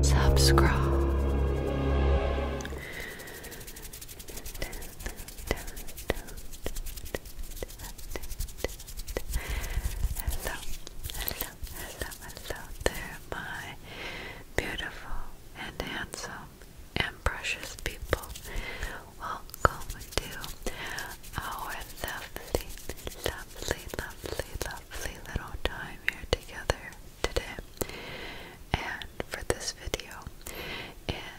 Subscribe. Hello, hello, hello, hello there, my beautiful and handsome and precious people. Welcome to our lovely, lovely, lovely, lovely little time here together today. And for this video,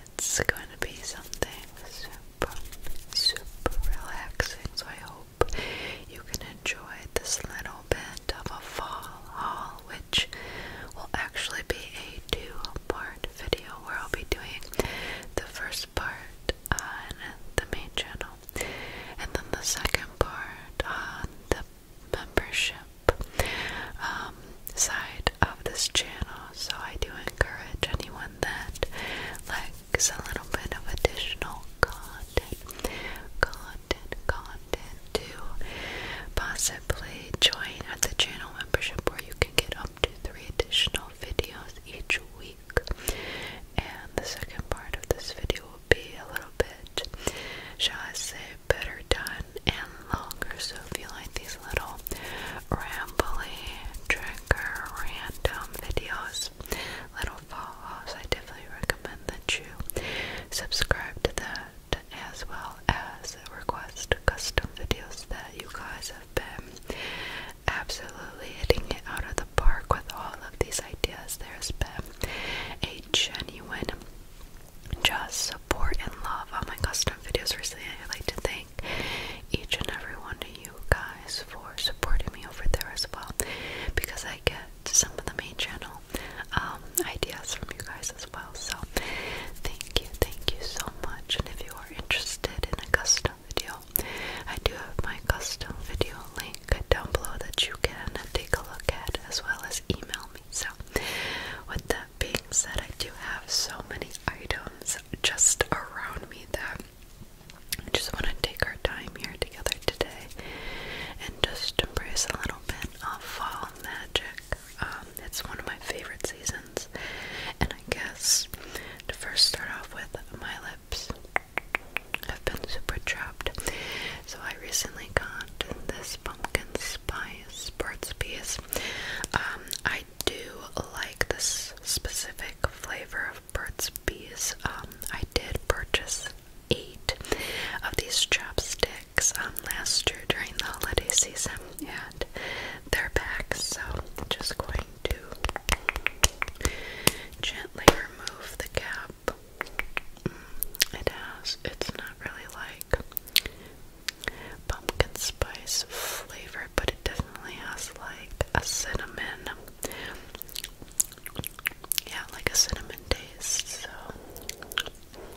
it's going to be something super, super relaxing. So I hope you can enjoy this little bit of a fall haul with which will actually be a two-part video where I'll be doing the first part on the main channel and then the second part on the membership um, side of this channel. So I do encourage anyone that likes a little bit of additional content content to possibly join at the channel membership where you can get up to three additional videos each week. And the second part of this video will be a little bit, shall I say, better done and longer. So if you like these little rambly, trigger, random videos, little follows, I definitely recommend that you subscribe to the as well as request custom videos that you guys have been absolutely hitting it out of the park with all of these ideas. There's been a genuine just support and love on my custom videos recently. I'd like to thank each and every one of you guys for supporting me over there as well because I get to some of the main channel um, ideas from you guys as well. So thank you, thank you so much. And if you are interested in a custom video, I do have my custom video link down below that you can take a look at as well as email me. So with that being said, I do have so many items just around me that I just want to take our time here together today and just embrace a little bit of fall on Magic. Um, it's one of my favorite seasons. And I guess to first start off with, my lips have been super chapped. So I recently got this pumpkin spice Burt's Bees. Um, I do like this specific flavor of Burt's Bees. Um, I did purchase eight of these chopsticks. Um, last year during the holiday season, and they're back. So, just going to gently remove the cap. Mm, it has, it's not really like pumpkin spice flavor, but it definitely has like a cinnamon. Yeah, like a cinnamon taste. So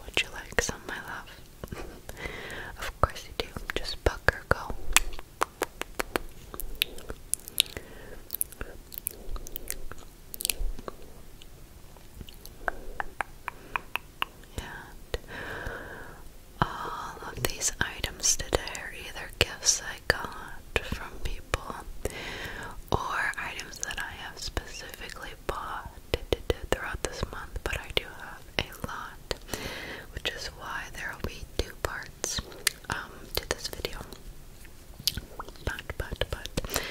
would you like some, of my love? of course you do. Just buck or go. And all of these items today are either gifts I got from people or items that I have specifically bought throughout this month, but I do have a lot, which is why there will be two parts um, to this video. But, but, but,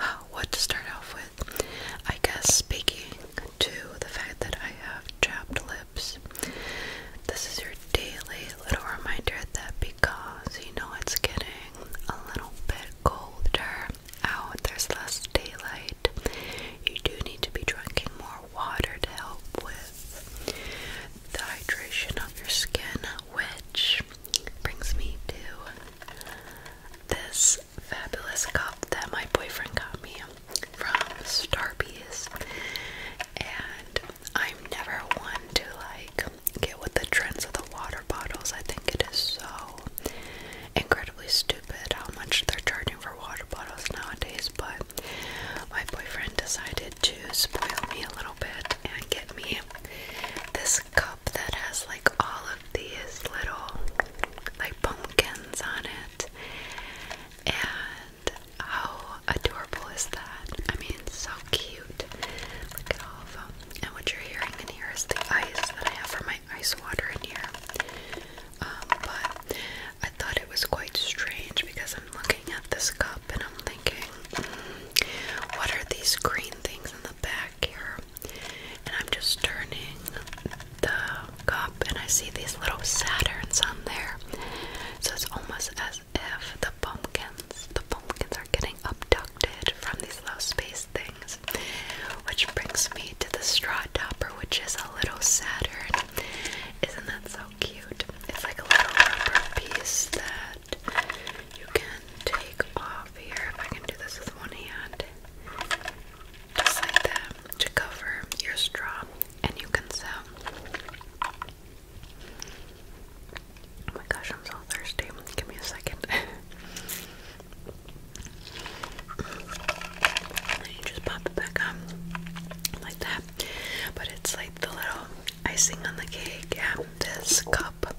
uh, what to start off with? I guess speaking to the fact that I have chapped lips, this is your daily little reminder that because you know it's getting a little bit colder out, there's less daylight. You do need to be drinking more water to help with the hydration of your skin, which brings me to this fabulous cup that my boyfriend got me from Starbucks. And I'm never one to like get with the trends of the water bottles. I think it is so incredibly stupid how much they're charging for water bottles nowadays. But my boyfriend decided to spoil me a little bit and get me this cup that has like all of these little like pumpkins on it. And how adorable is that? I mean, so cute. Look at all of them. And what you're hearing in here is the ice that I have for my ice water in here. Um, but I thought it was quite strange because I'm looking at this cup and I'm thinking, hmm, what are these green things in the back here? And I'm just turning the cup and I see these little Saturns on there. So it's almost as if the pumpkins, the pumpkins are getting abducted from these low space things. Which brings me to the straw topper, which is a little Saturn. Isn't that so cute? It's like a little piece that you can take off here. If I can do this with one hand, just like that, to cover your straw, and you can sew. Oh my gosh, I'm so thirsty. Give me a second. you just pop it back on like that. But it's like the little icing on the cake. this cup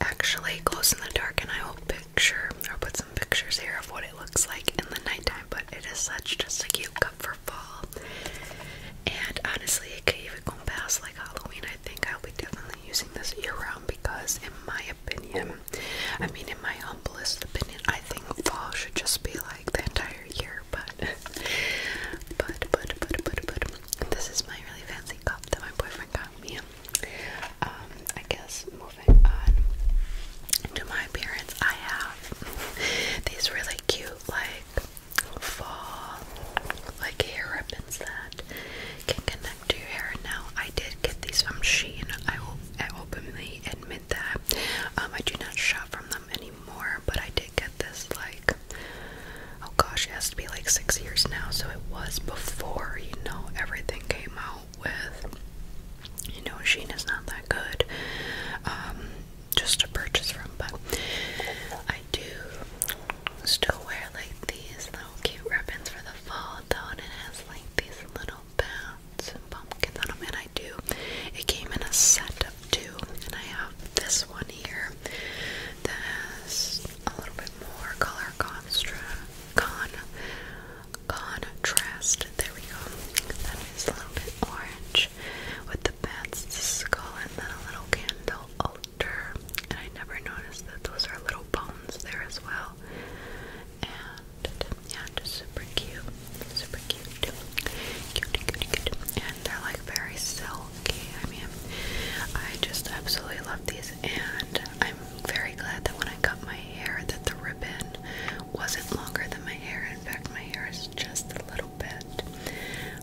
actually glows in the dark, and I will picture or put some pictures here of what it looks like in the nighttime. But it is such just a cute cup for fall. And honestly, it could even go past like like Halloween, I think I'll be definitely using this year round because, in my opinion, I mean, in my humblest opinion, I think fall should just be like the entire year. But, but, but, but, but, but, this is my really fancy cup that my boyfriend got me. Um, I guess moving on to my appearance, I have these really cute, like fall, like hair ribbons that can connect to your hair. Now, I did get these from Shein. I will I openly admit that. Um, I do not shop from them anymore, but I did get this like oh gosh, it has to be like six years now. So it was before you know everything came out with you know Shein is not that good. Um, just to purchase from, but I do still wear like these little cute ribbons for the fall though, and it has like these little bats and pumpkins on them, and I do. It came in a set of two, and I have this one here that has a little bit more color constra contrast. There we go. That is a little bit orange with the bats, the skull, and then a little candle oh, and I never noticed that those are little bones there as well. And yeah, just super cute, super cute, cute, cute, cute. And they're like very silky. I mean, I just absolutely love these, and I'm very glad that when I cut my hair, that the ribbon wasn't longer than my hair. In fact, my hair is just a little bit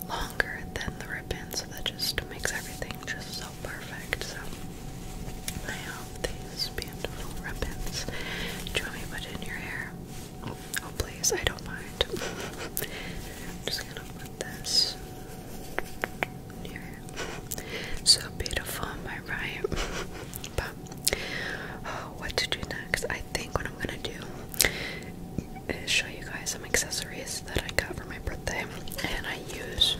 longer than the ribbon, so that just makes everything just so perfect. So I have these beautiful ribbons. Do you want me to put it in your hair? Oh please, I don't mind. I'm just gonna put this in So beautiful, am I right? but oh, what to do next? I think what I'm gonna do is show you guys some accessories that I got for my birthday, and I use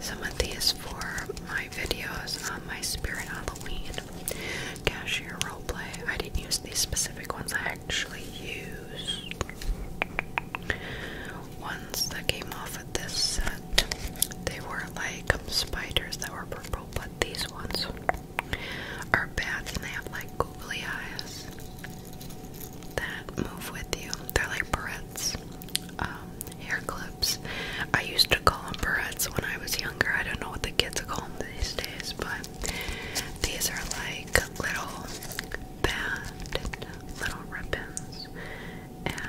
some of these for my videos on my Spirit Halloween cashier role play. I didn't use these specific ones. I actually used ones that came off of this set. They were like spiders that were purple, but these ones are bats and they have like googly eyes that move with you. They're like barrettes, um, hair clips. I used to call them barrettes when I was younger. I don't know what the kids call them these days, but these are like little band, little ribbons. And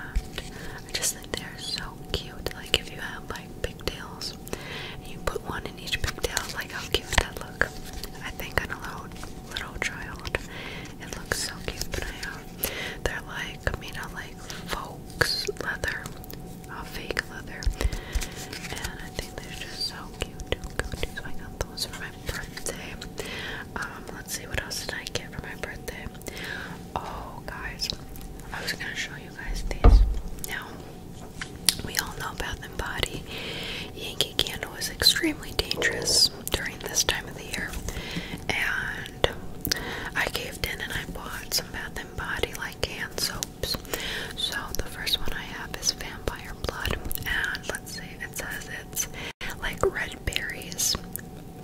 I just think they're so cute. Like if you have like pigtails and you put one in each pigtail, like how cute would that look? I think I'm little little child. It looks so cute, but I have. Um, they're like I mean, I like faux leather, uh, fake leather, and I think they're just so cute, too So I got those for my birthday. Um, let's see what else did I get for my birthday. Oh, guys, I was gonna show you guys these. Now, we all know Bath and Body Yankee Candle is extremely dangerous during this time of the year. And I caved in and I bought some Bath and Body like hand soaps. So the first one I have is Vampire Blood. And let's see, it says it's like red berries,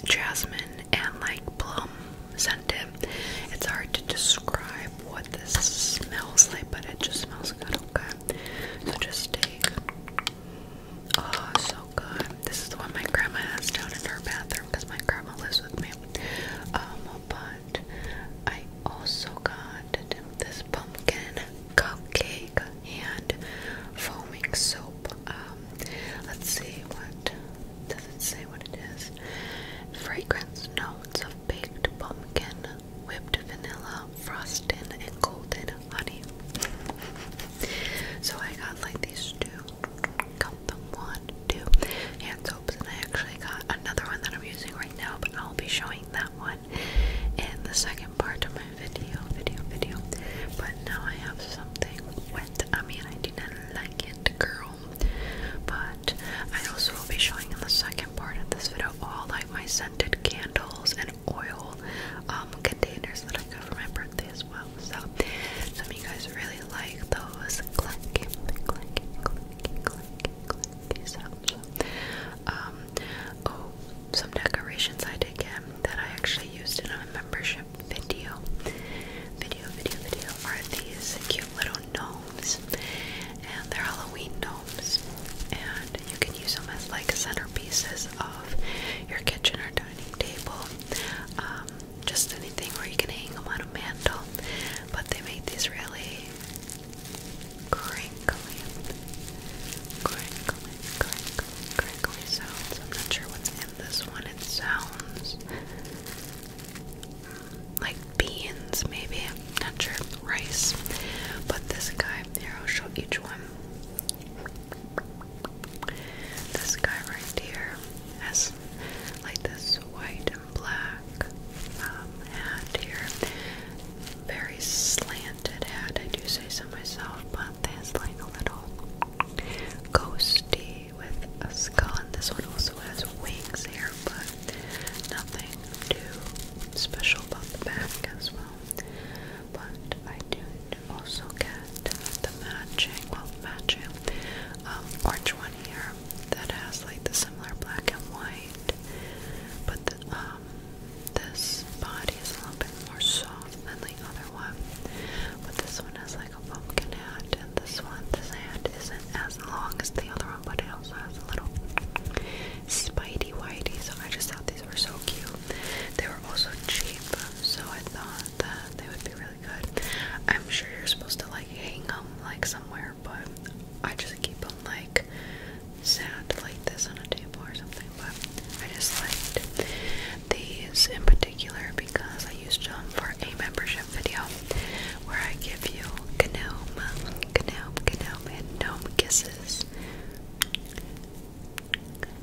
jasmine, and like plum scented. It's hard to describe what this smells like, but it just smells good, okay? So just take. Oh, so good. This is the one my grandma has down in her bathroom because my grandma lives with me. Um, but I also got this pumpkin cupcake and foaming soap. Um, let's see what does it say what it is. Fragrance notes of baked pumpkin whipped vanilla, frosting, and golden honey. so I got like these two. one, two hand soaps, and I actually got another one that I'm using right now, but I'll be showing that one in the second part of my video, video, video. But now I have something wet. I mean, I do not like it, girl. But I also will be showing in the second part of this video all like my candles and oil um, containers that I got for my birthday as well. So, some of you guys really like those clanky, um, oh, some decorations I did get that I actually used in a membership video. Video, video, video are these cute little gnomes, and they're Halloween gnomes and you can use them as like centerpieces of your kitchen or dining table. Um, just anything where you can hang them on a mantle. But they make these really crinkly, crinkly, crinkly, crinkly sounds. I'm not sure what's in this one. It sounds mm, like beans, maybe. Not sure. Rice. But this guy, here, I'll show each one. This guy right here has like this white and black um, hat here. Very slanted hat, I do say so myself, but that's like a little ghosty with a skull. And this one also has wings here, but Nothing too special about the bag as well. But I do also get the matching, well, matching um, orange one here that has like the similar black and white, but the, um, this body is a little bit more soft than the other one. But this one has like a pumpkin hat, and this one, this hat isn't as long as the other one, but it also has a little Spidey Whitey, so I just thought these were so cute. They were also cheap, so I thought that they would be really good. I'm sure you're supposed to like hang them like somewhere, but I just keep them like sat like this on a table or something. But I just liked these in particular because I used them for a membership video where I give you Gnome, Gnome, Gnome, and Gnome Kisses. Gnome,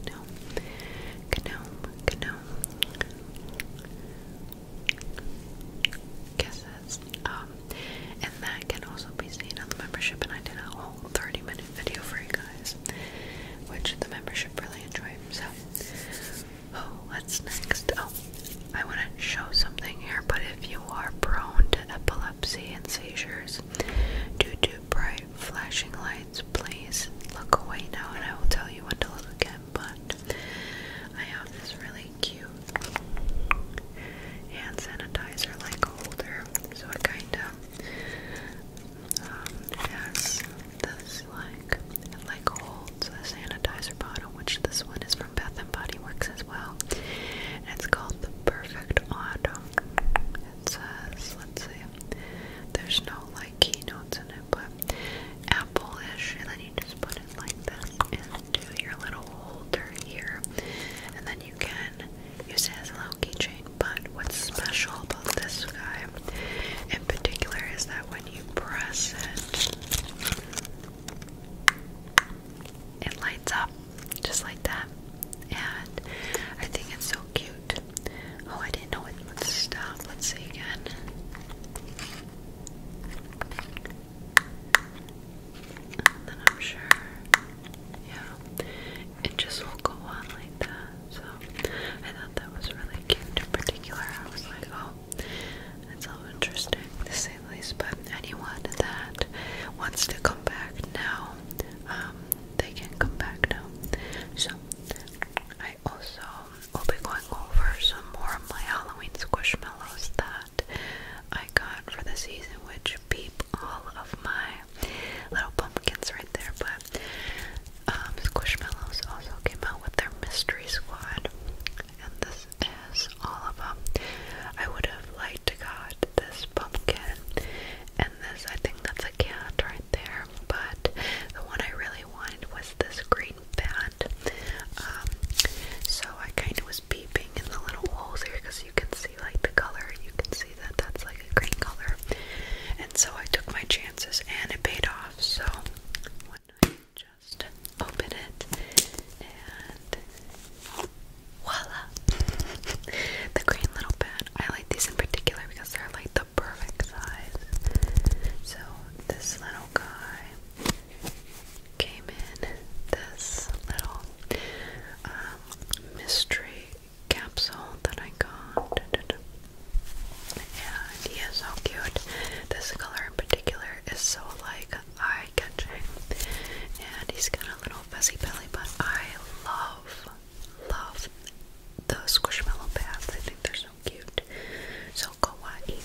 Gnome, Gnome. Kisses. Um, and that can also be seen on the membership, and I did a whole 30 minute video for you guys, which the membership really enjoyed. So, Oh, what's next? Oh, I want to show something here, but if you are prone to epilepsy and seizures do to bright flashing lights, please look away now and I will tell you when to look again. But I have this really cute hand sanitizer like holder, so it kind of um, this like like holds a sanitizer bottle, which this one is from Bath and Body Works as well. it's called the Perfect Autumn. It says, let's see, there's no like keynotes in it, but apple-ish, and then you just put it like this into your little holder here, and then you can use it as a little keychain. But what's special about this guy in particular is that when you press it, it lights up just like that. And I think it's so cute. Oh, I didn't know what would stop. Let's see again. And then I'm sure, yeah, it just will go on like that. So I thought that was really cute in particular. I was like, oh, it's all interesting to say the least. But anyone that wants to come back now, um, they can come back now. So I also will be going over some more of my Halloween squishmallows that I got for the season, which beep all of my little pumpkins right there. But but um, Squishmallows also came out with their Mystery Squad, and this is all of them. I would have liked to got this pumpkin and this. I think that's a cat right there, but the one I really wanted was this green bat. Um, so I kind of was peeping in the little holes here because you can see like the color. You can see that that's like a green color, and so I took my chances and it paid off. So I just open it and voila! the green little pen. I like these in particular because they're like the perfect size. So this little guy came in this little um, mystery capsule that I got. And he is so cute. This color in particular is so like eye catching. And he's got a little fuzzy belly, but I love, love the squishmallow pads. I think they're so cute. So kawaii.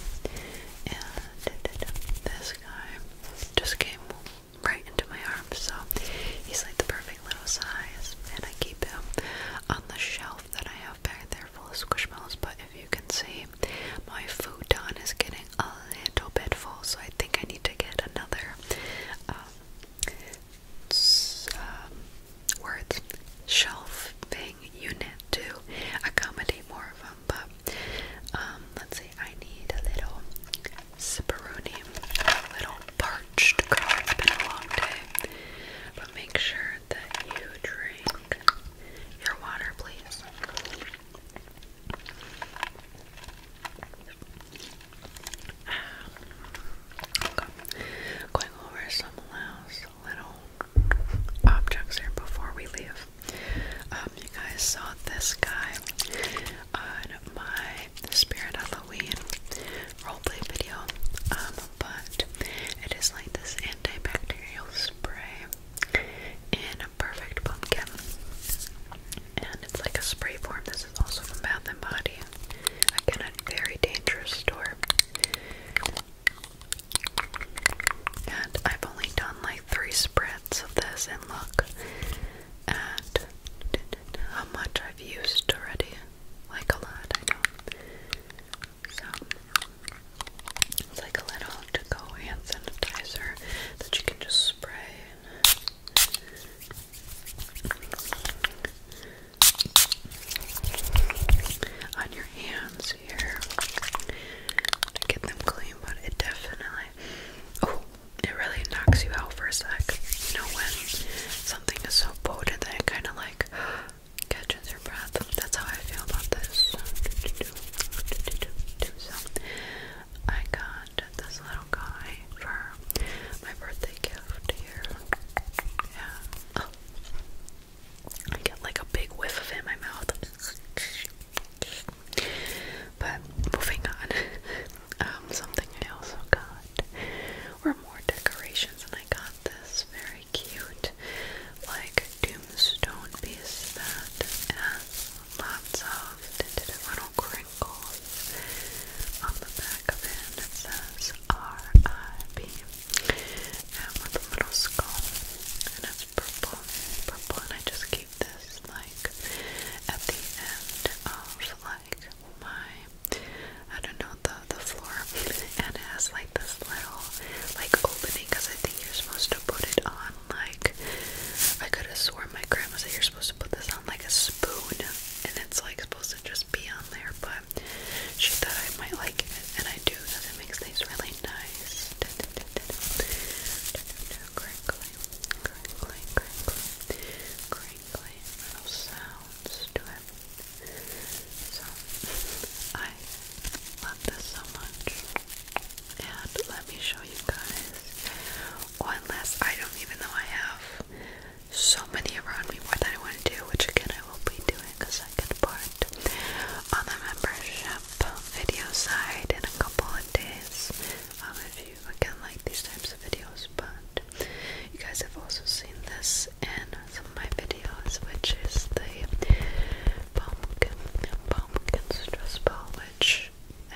And this guy just came right into my arms, so he's like the perfect little size. And I keep him on the shelf that I have back there full of squishmallows, but if you can see, my futon is getting a little bit full, so I think I need to get another um, um, words shelving unit to accommodate more of them. But um, let's see, I need a little ciperoni, a little parched It's been a long day make sure that you drink your water, please. Going over some last little objects here before we leave. Um, you guys saw this guy on my Spirit Halloween roleplay video. Um, but it is like this antibacterial spray in a perfect pumpkin. And it's like a spray form. This is also from Bath and Body. Again, a very dangerous store. And I've only done like three spreads of this, and look at how much I've used already. Like a lot, so it's like a little to-go hand sanitizer that you can just spray. On your hands here to get them clean, but it definitely oh, it really knocks you out for a sec. You know when something is so potent that it kind of like catches your breath. That's how I feel about this. I got this little guy for my birthday gift here. Yeah. Oh. I get like a big whiff of it in my mouth. But moving on, um, something I also got were more decorations, and I got this very cute, like tombstone piece that has lots of little crinkles on the back of it. It R.I.B. and with a little skull, and it's purple, purple, and I just keep this like at the end of like my I don't know the the floor, and it has like this little like opening because I think you're supposed to put it on like I could have sworn my grandma said you're supposed to put this on like a spoon, and it's like supposed to just be on there, but she thought I might like it, and I do because it makes things really nice. Crinkly, crinkly, crinkly, crinkly little sounds. Do I so I love this so much. And let me show you guys one last item, even though I have so many around me more that I want to do, which again I will be doing a second part on the membership video side in a couple of days. Um, if you again like these types of videos, but you guys have also seen this this some of my videos, which is the pumpkin pumpkin stress ball, which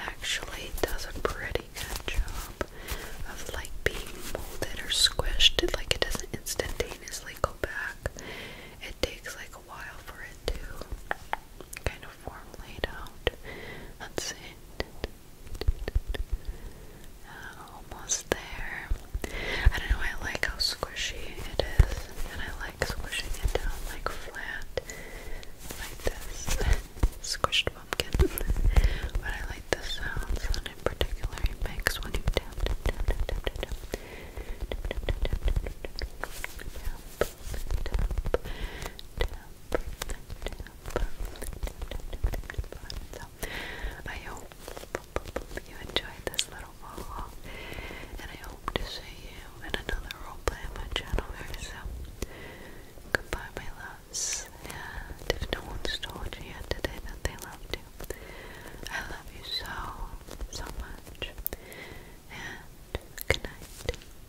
actually does a pretty good job of like being molded or squished. It, like it doesn't instantaneously go back. It takes like a while for it to kind of form laid out. Let's almost there. I don't know, I like how squishy it is, and I like squishing it down like flat, like this. Squished pumpkin. but I like the sounds that in particular makes when you tap, tap, tap, I hope you enjoyed this little haul, and I hope to see you in another roleplay on my channel very soon. Goodbye, my loves, if no one's told you yet today that they loved you, I love you so, so much, and good night.